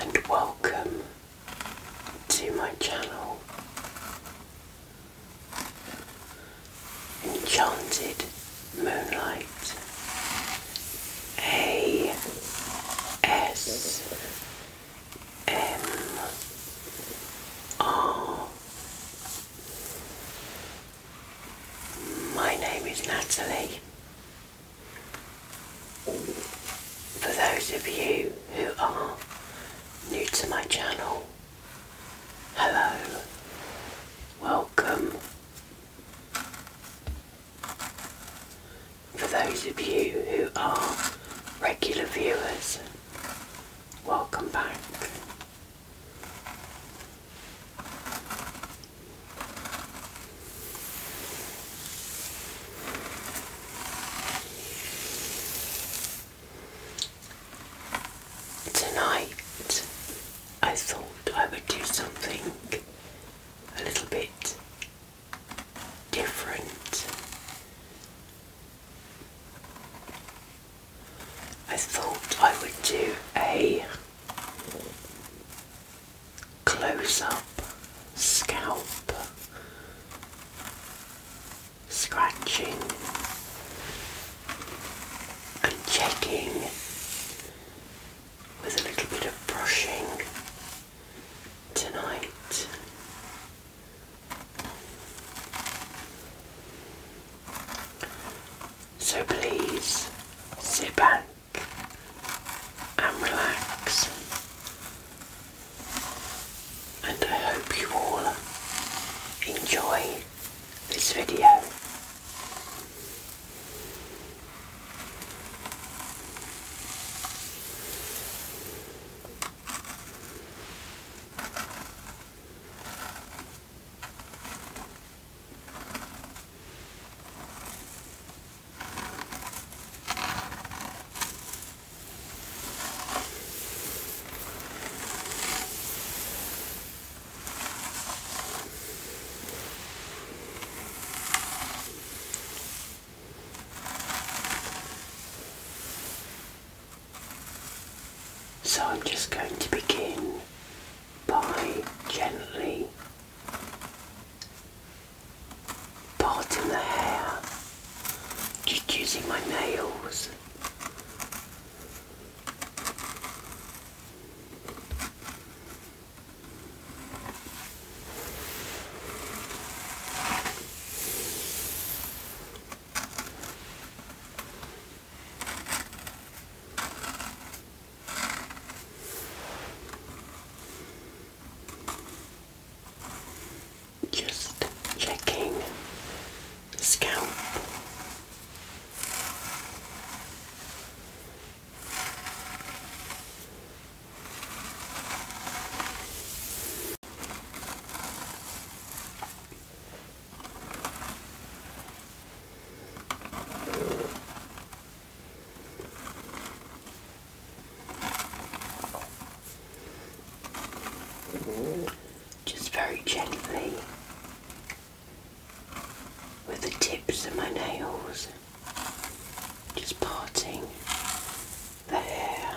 and welcome to my channel Enchanted Moonlight A S M R my name is Natalie for those of you who are new to my channel, hello, welcome. For those of you who are regular viewers, welcome back. Tonight I thought I would do something a little bit different. I thought I would do a close up scalp scratching and checking with a little bit of brushing tonight. So please sit back and relax and I hope you all enjoy this video. So I'm just going to begin by gently parting the hair, just using my nails. Just checking the scalp. Just very gently with the tips of my nails, just parting the hair.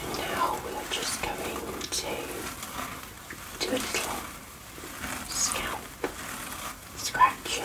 And now we are just going to do scalp scratching.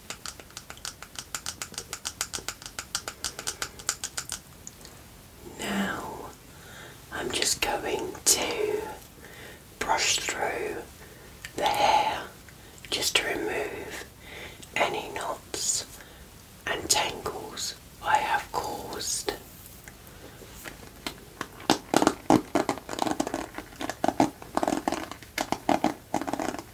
Now I'm just going to brush through the hair just to remove any knots and tangles I have caused.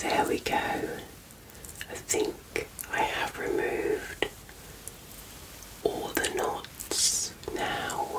There we go. I think I have removed all the knots now.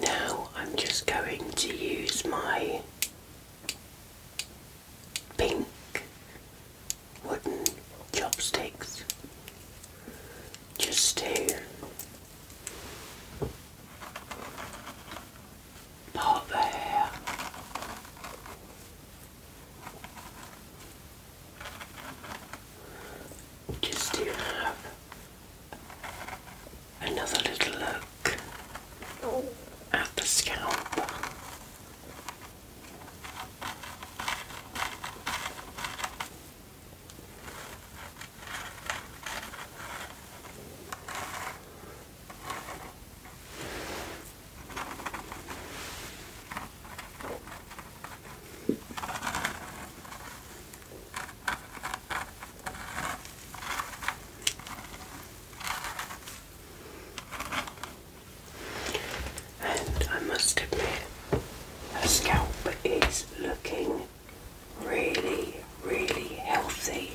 Now I'm just going to use my pink wooden chopsticks just to part the just to have another little look at the scalp. And I must admit, her scalp is looking really, really healthy.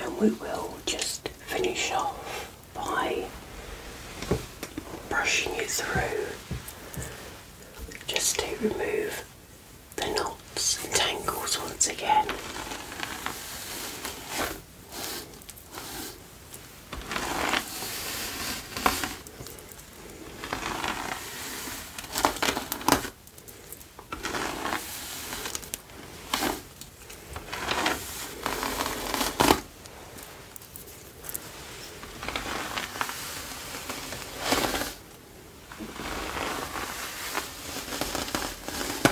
And we will just finish off by brushing it through just to remove the knots and tangles once again.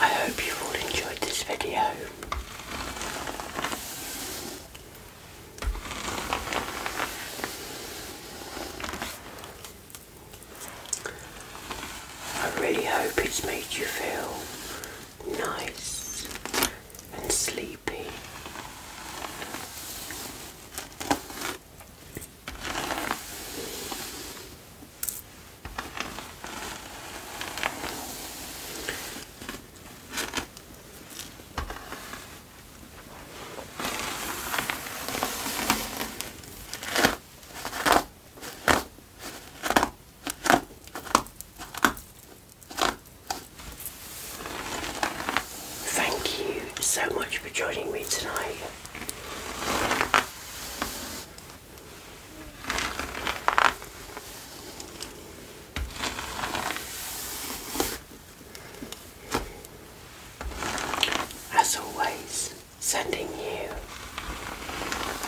I hope you all enjoyed this video. I really hope it's made you feel nice and sleepy. Thank you so much for joining me tonight. As always, sending you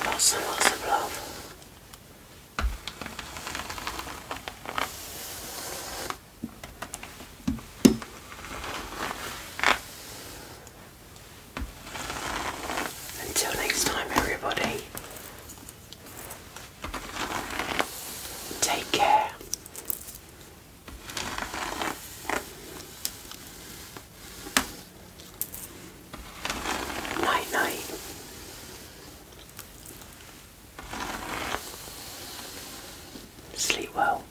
lots and lots of love. Until next time, everybody, take care. Night, night. Sleep well.